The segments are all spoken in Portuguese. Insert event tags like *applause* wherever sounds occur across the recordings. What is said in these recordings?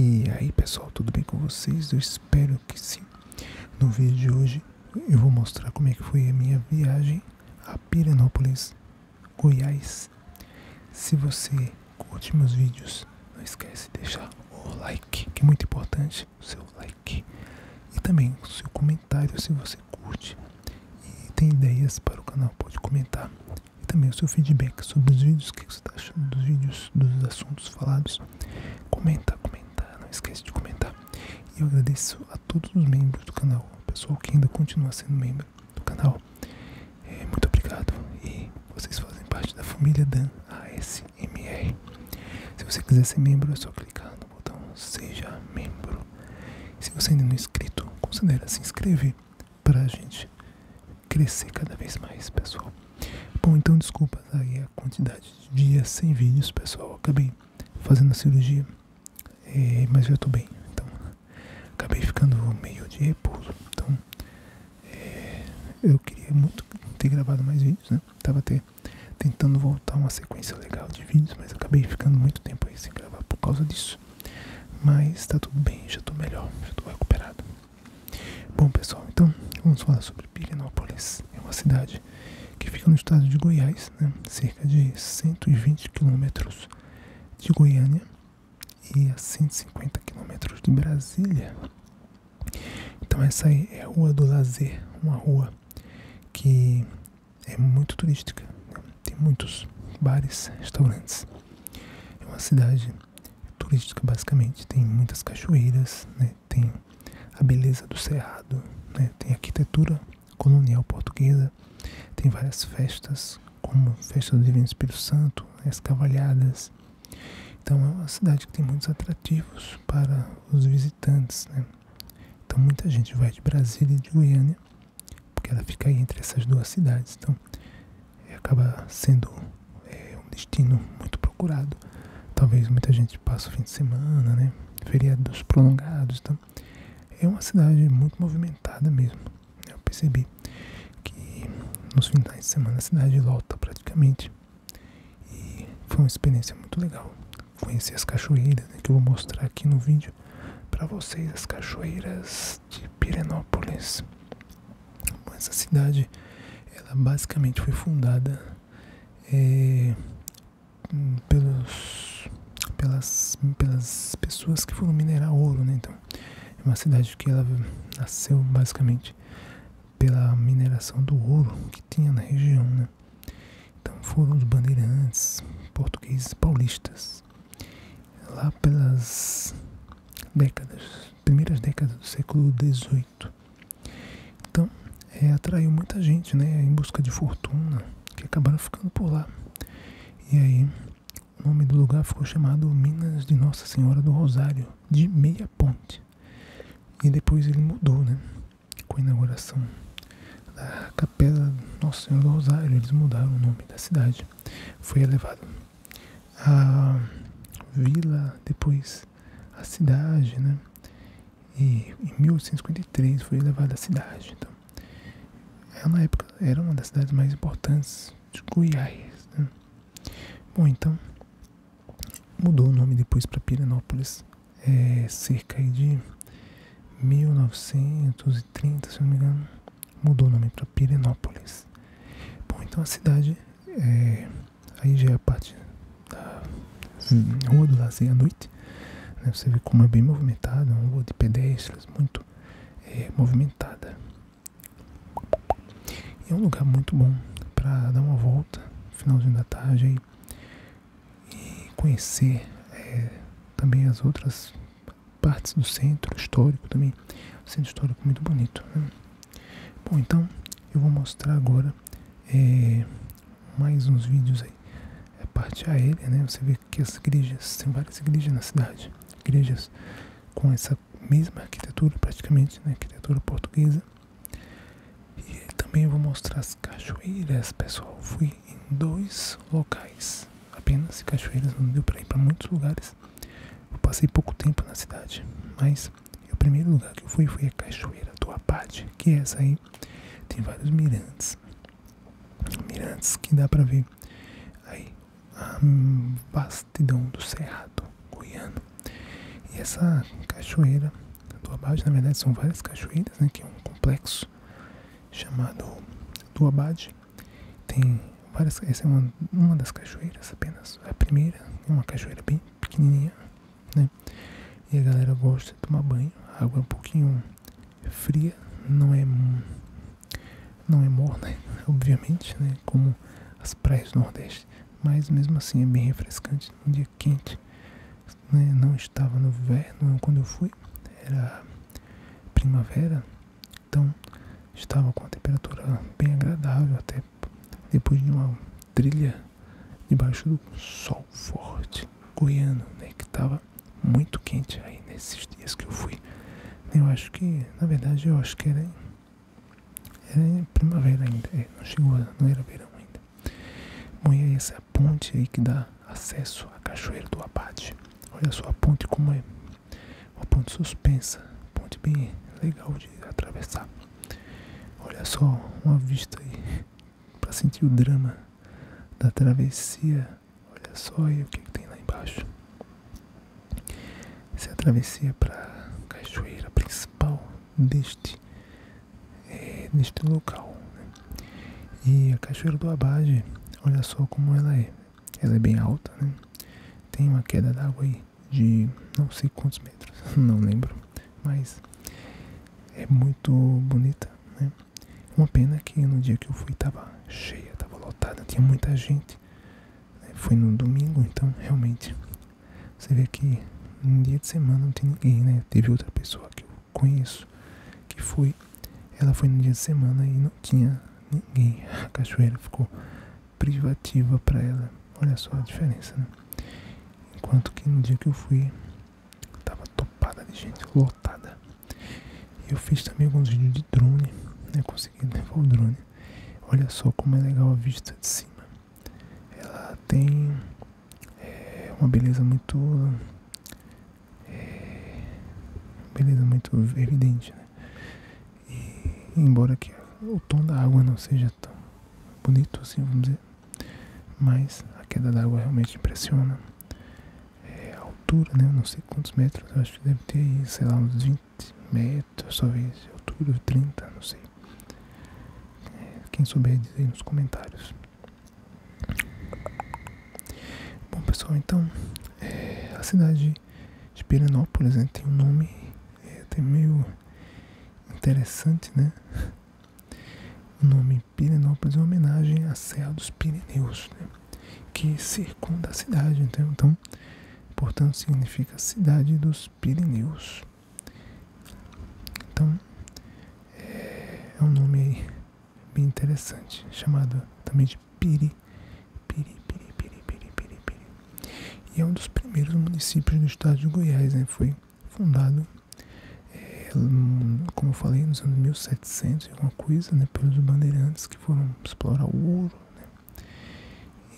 E aí pessoal, tudo bem com vocês? Eu espero que sim. No vídeo de hoje eu vou mostrar como é que foi a minha viagem a Piranópolis, Goiás. Se você curte meus vídeos, não esquece de deixar o like, que é muito importante, o seu like. E também o seu comentário se você curte e tem ideias para o canal, pode comentar. E também o seu feedback sobre os vídeos, o que você está achando dos vídeos, dos assuntos falados. Comenta, comenta, não esquece de comentar. E eu agradeço a todos os membros do canal, o pessoal que ainda continua sendo membro do canal. É, muito obrigado e vocês fazem parte da família Dan ASMR. Se você quiser ser membro, é só clicar no botão Seja Membro. se você ainda não é inscrito, considere se inscrever para a gente crescer cada vez mais, pessoal. Bom, então desculpas aí a quantidade de dias sem vídeos, pessoal. Acabei fazendo a cirurgia, eh, mas já estou bem. Então, acabei ficando meio de repouso. Então, é, eu queria muito ter gravado mais vídeos, né? Tava tentando voltar uma sequência legal de vídeos, mas acabei ficando muito tempo aí sem gravar por causa disso. Mas tá tudo bem, já tô melhor, já tô recuperado. Bom pessoal, então vamos falar sobre Pirenópolis. É uma cidade que fica no estado de Goiás, né? cerca de 120 quilômetros de Goiânia e a 150 quilômetros de Brasília. Então essa é a Rua do Lazer, uma rua que é muito turística, tem muitos bares, restaurantes. É uma cidade turística basicamente, tem muitas cachoeiras, né? tem a beleza do cerrado, né? tem arquitetura colonial portuguesa, tem várias festas, como Festa do Divino Espírito Santo, as cavalhadas, então é uma cidade que tem muitos atrativos para os visitantes, né? Então muita gente vai de Brasília e de Goiânia, porque ela fica aí entre essas duas cidades. Então é, acaba sendo é, um destino muito procurado. Talvez muita gente passe o fim de semana, né? Feriados prolongados, então é uma cidade muito movimentada mesmo. Eu percebi que nos finais de semana a cidade lota praticamente. E foi uma experiência muito legal. conhecer as cachoeiras, né, que eu vou mostrar aqui no vídeo para vocês, as cachoeiras de Pirenópolis. Essa cidade, ela basicamente foi fundada eh, hum, pelos, pelas, pelas pessoas que foram minerar ouro, né? Então, é uma cidade que ela nasceu basicamente pela mineração do ouro que tinha na região, né? Então foram os bandeirantes portugueses paulistas lá pelas décadas, primeiras décadas do século XVIII. Então é, atraiu muita gente, né, em busca de fortuna, que acabaram ficando por lá. E aí o nome do lugar ficou chamado Minas de Nossa Senhora do Rosário de Meia Ponte. E depois ele mudou, né? Com a inauguração da Capela Nossa Senhora do Rosário, eles mudaram o nome da cidade. Foi elevado a vila, depois a cidade, né? E em 1853 foi elevada a cidade. Então, ela, é na época era uma das cidades mais importantes de Goiás. Né? Bom, então Mudou o nome depois para Pirenópolis, é cerca de 1930, se não me engano, mudou o nome para Pirenópolis. Bom, então a cidade, é, aí já é a parte da Rua do Lazer à noite, né? você vê como é bem movimentada, uma rua de pedestres, muito é, movimentada. É um lugar muito bom para dar uma volta no finalzinho da tarde e conhecer é, também as outras partes do centro histórico também. Um centro histórico muito bonito. Né? Bom, então eu vou mostrar agora é, mais uns vídeos aí. A é parte aérea, né? Você vê que as igrejas, tem várias igrejas na cidade. Igrejas com essa mesma arquitetura, praticamente, na né, Arquitetura portuguesa. E também vou mostrar as cachoeiras, pessoal. Fui em dois locais apenas, cachoeiras, não deu para ir para muitos lugares. Eu passei pouco tempo na cidade, mas o primeiro lugar que eu fui foi a Cachoeira do Abade, que é essa aí. Tem vários mirantes, mirantes que dá para ver aí a, vastidão do Cerrado Goiano. E essa cachoeira do Abade, na verdade, são várias cachoeiras, né, que é um complexo chamado do Abade. Tem várias, essa é uma, uma das cachoeiras apenas, a primeira, é uma cachoeira bem pequenininha, né, e a galera gosta de tomar banho, a água é um pouquinho fria, não é não é morna, *laughs* obviamente, né, como as praias do Nordeste. Mas mesmo assim é bem refrescante um dia quente. Né? Não estava no verão quando eu fui, era primavera, então estava com a temperatura bem agradável até depois de uma trilha debaixo do sol forte goiano, né, que estava muito quente aí nesses dias que eu fui. Eu acho que, na verdade, eu acho que era é primavera ainda, é, não chegou, não era verão ainda. Bom, e é essa ponte aí que dá acesso à Cachoeira do Abate. Olha só a ponte como é. Uma ponte suspensa, ponte bem legal de atravessar. Olha só uma vista aí *laughs* para sentir o drama da travessia. Olha só aí o que tem lá embaixo se atravessia para é a cachoeira principal deste, é, deste local. Né? E a cachoeira do Abade, olha só como ela é. Ela é bem alta, né? Tem uma queda d'água aí de não sei quantos metros, *laughs* não lembro, mas é muito bonita, né? Uma pena que no dia que eu fui estava cheia, estava lotada, tinha muita gente. Né? Foi no domingo, então realmente você vê que no dia de semana não tem ninguém, né? Teve outra pessoa que eu conheço que foi. Ela foi no dia de semana e não tinha ninguém. A cachoeira ficou privativa para ela. Olha só a diferença, né? Enquanto que no dia que eu fui, tava topada de gente, lotada. Eu fiz também alguns vídeos de drone, né? Consegui levar o drone. Olha só como é legal a vista de cima ela tem eh, uma beleza muito eh, beleza muito evidente né? e embora que o tom da água não seja tão bonito assim vamos dizer mas a queda d'água realmente impressiona é, a altura né não sei quantos metros acho que deve ter sei lá uns 20 metas, talvez outubro, 30, não sei. É, quem souber diz nos comentários. Bom pessoal, então é, a cidade de Pirenópolis né, tem um nome é, até meio interessante, né? O nome Pirenópolis é uma homenagem à Serra dos Pirineus, né, que circunda a cidade. então portanto, significa Cidade dos dos Pirineus. Então, é, é, um nome aí bem interessante, chamado também de Piri, Piri, Piri, Piri, Piri, Piri, E é um dos primeiros municípios do estado de Goiás, né? Foi fundado, é, como eu falei, nos anos 1700 e alguma coisa, né? Pelos bandeirantes que foram explorar o ouro, né?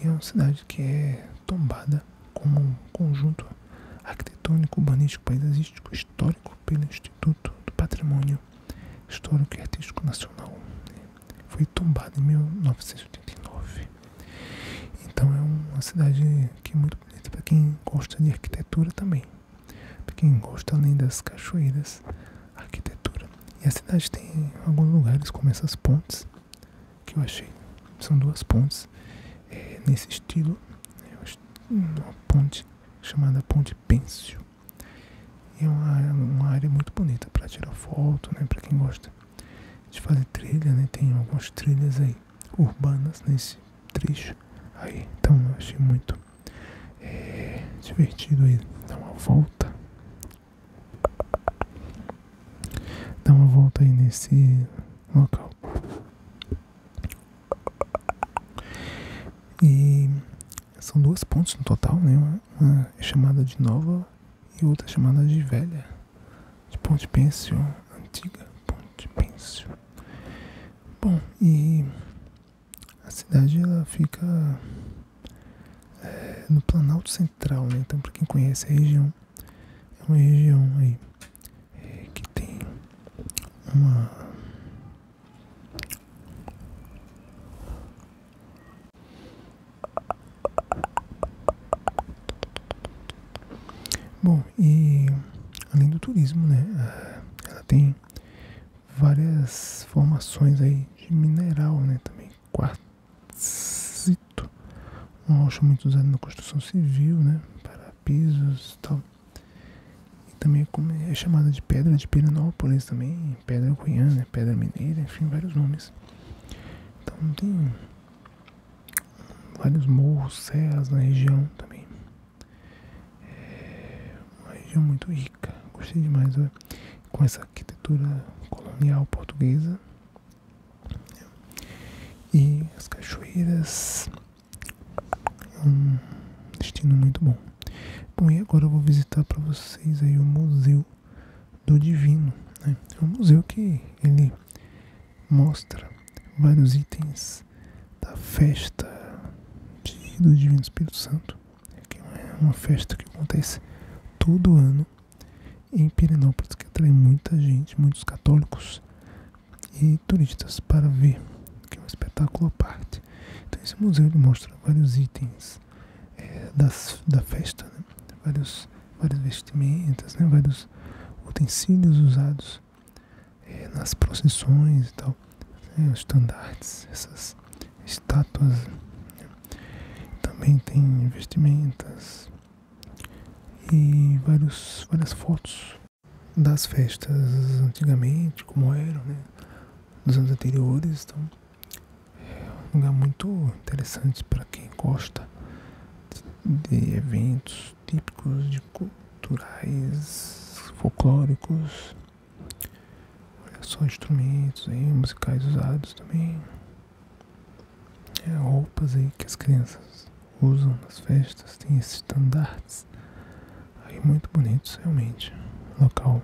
E é uma cidade que é tombada como um conjunto arquitetônico, urbanístico, paisagístico, histórico pelo Instituto do Patrimônio Histórico e Artístico Nacional. Foi tombada em 1989. Então é uma cidade que é muito bonita para quem gosta de arquitetura também. Para quem gosta além das cachoeiras, arquitetura. E a cidade tem alguns lugares como essas pontes que eu achei. São duas pontes é, nesse estilo. Né, uma ponte chamada Ponte Pêncil. E é uma, uma área muito bonita para tirar foto, né? Para quem gosta de fazer trilha, né? Tem algumas trilhas aí urbanas nesse trecho aí. Então eu achei muito é, divertido aí dar uma volta Dá uma volta aí nesse local. E são duas pontes no total, né? Uma é chamada de nova e outra é chamada de velha. De Ponte Pêncil, antiga Ponte Pêncil. Bom, e a cidade ela fica eh, no Planalto Central, né? Então, para quem conhece a região, é uma região aí é, que tem uma Bom, e além do turismo, né? Ela tem várias formações aí de mineral, né? Também quartzito, uma rocha muito usada na construção civil, né, para pisos e tal. E também é, é chamada de pedra de Piranópolis também, pedra goiana, né? pedra mineira, enfim, vários nomes. Então tem vários morros, serras na região também. É uma região muito rica, gostei demais, né? com essa arquitetura colonial portuguesa e as cachoeiras, é um destino muito bom. Bom, e agora eu vou visitar para vocês aí o Museu do Divino. Né? É um museu que ele mostra vários itens da festa do Divino Espírito Santo. que É uma festa que acontece todo ano em Pirenópolis, que atrai muita gente, muitos católicos e turistas para ver, que é um espetáculo à parte. Então esse museu ele mostra vários itens é, da festa, né? vários, vestimentas, né? vários utensílios usados é, nas procissões e tal, né? os estandartes, essas estátuas. Né? Também tem vestimentas, e várias fotos das festas antigamente, como eram, né? Dos anos anteriores. Então, é um lugar muito interessante para quem gosta de eventos típicos, de culturais, folclóricos. Olha só, instrumentos aí, musicais usados também. É, roupas aí que as crianças usam nas festas, tem esses estandartes aí muito bonitos realmente. Local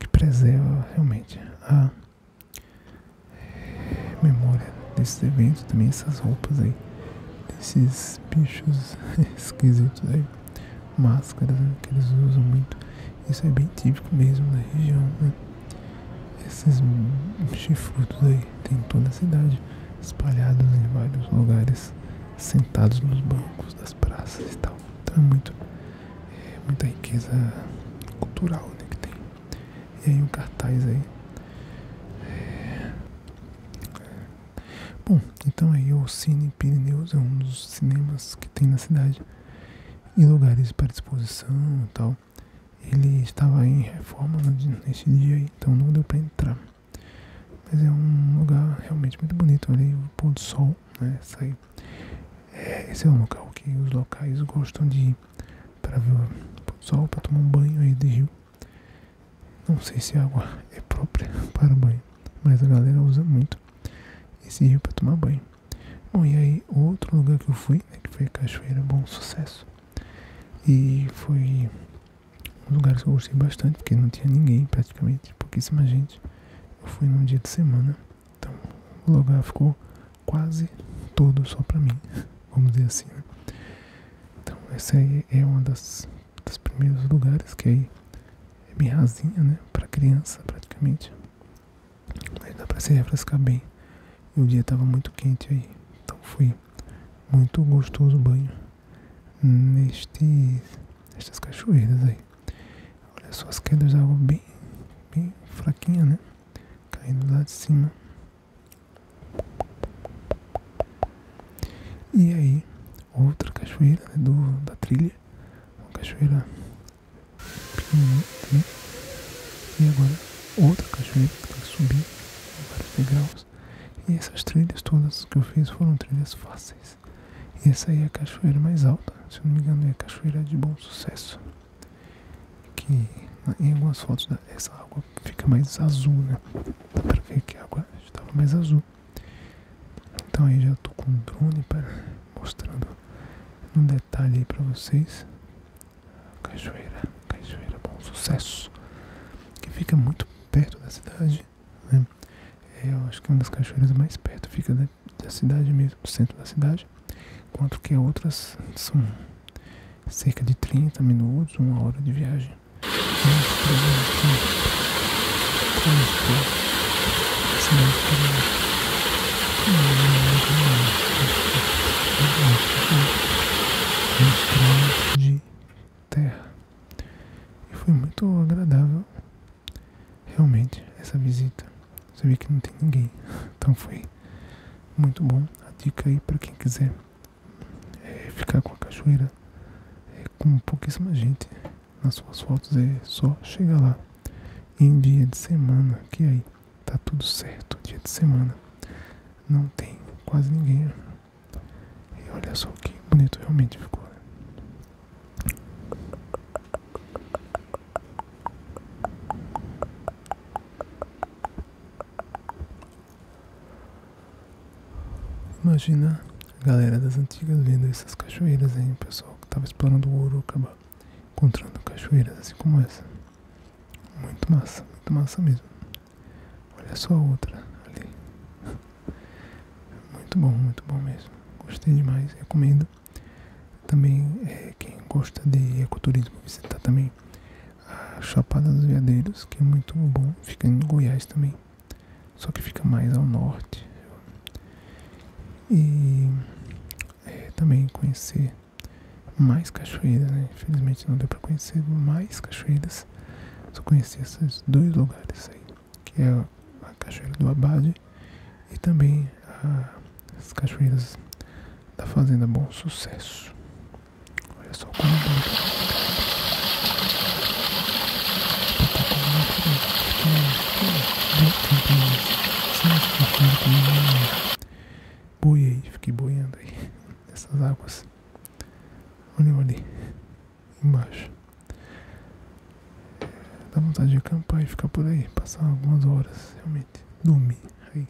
que preserva realmente a memória desses eventos, também essas roupas aí, desses bichos *laughs* esquisitos aí, máscaras né, que eles usam muito. Isso é bem típico mesmo da região, né. Esses chifrutos aí tem toda a cidade, espalhados em vários lugares, sentados nos bancos das praças e tal. Então é muito é muita riqueza cultural né, que tem. E aí o um cartaz aí. Bom, então aí o Cine Pirineus é um dos cinemas que tem na cidade em lugares para exposição e tal ele estava em reforma nesse dia, então não deu para entrar. Mas é um lugar realmente muito bonito ali, o pôr do sol, né? Sai. É, esse é um local que os locais gostam de ir para ver o pôr do sol, para tomar um banho aí de rio. Não sei se a água *laughs* é própria *laughs* para banho, mas a galera usa muito esse rio para tomar banho. Bom, e aí outro lugar que eu fui, né, que foi a Cachoeira Bom Sucesso e foi um lugar que eu gostei bastante, porque não tinha ninguém praticamente, pouquíssima gente. Eu fui num dia de semana, então o lugar ficou quase todo só para mim, *laughs* vamos dizer assim. Né? Então esse aí é um das, dos primeiros lugares que aí é bem rasinha, né, para criança praticamente. Mas dá para se refrescar bem. E o dia estava muito quente aí. Então foi muito gostoso o banho. Nestes, nestas cachoeiras aí. Olha só as quedas de água bem, bem fraquinha, né? Caindo lá de cima. E aí, outra cachoeira né, do, da trilha. Uma cachoeira pequenininho também. E agora outra cachoeira que tem que subir vários degraus. E essas trilhas todas que eu fiz foram trilhas fáceis. essa aí é a cachoeira mais alta, se eu não me engano é a cachoeira de bom sucesso. Que em algumas fotos da, né, essa água fica mais azul, né? Dá pra ver que a água estava mais azul. Então aí já estou com um drone para mostrando um detalhe para vocês Cachoeira, Cachoeira Bom Sucesso, que fica muito perto da cidade, né? É, eu acho que é uma das cachoeiras mais perto, fica da, cidade mesmo, do centro da cidade, enquanto que outras são cerca de 30 minutos, uma hora de viagem um de terra. E foi muito agradável, realmente, essa visita. Você vê que não tem ninguém, então foi muito bom. A dica aí para quem quiser é ficar com a cachoeira é, com pouquíssima gente nas suas fotos é só chegar lá em dia de semana que aí tá tudo certo. Dia de semana não tem quase ninguém. E olha só que bonito realmente ficou. Né? Imagina a galera das antigas vendo essas cachoeiras, hein, pessoal que tava explorando o ouro, acabou encontrando cachoeiras assim como essa. Muito massa, muito massa mesmo. Olha só a outra ali. *laughs* Muito bom, muito bom mesmo. Gostei demais, recomendo. Também é, quem gosta de ecoturismo visitar também a Chapada dos Veadeiros, que é muito bom, fica em Goiás também. Só que fica mais ao norte. E é, também conhecer mais cachoeiras, infelizmente não deu para conhecer mais cachoeiras, só conheci esses dois lugares aí, que é a Cachoeira do Abade e também as cachoeiras da Fazenda Bom Sucesso. Olha só como é aí fiquei boiando aí *laughs* nessas águas. Olha eu ali, embaixo. Dá vontade de acampar e ficar por aí, passar algumas horas, realmente. Dormir aí,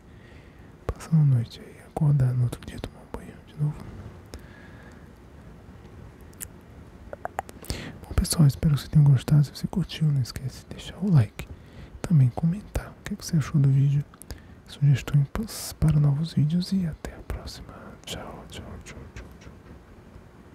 passar uma noite aí, acordar no outro dia, tomar um banho de novo. Bom pessoal, espero que vocês tenham gostado. Se você curtiu, não esquece de deixar o like. Também comentar o é que, você achou do vídeo? Sugestões para novos vídeos e até a próxima. Tchau, tchau, tchau, tchau. tchau.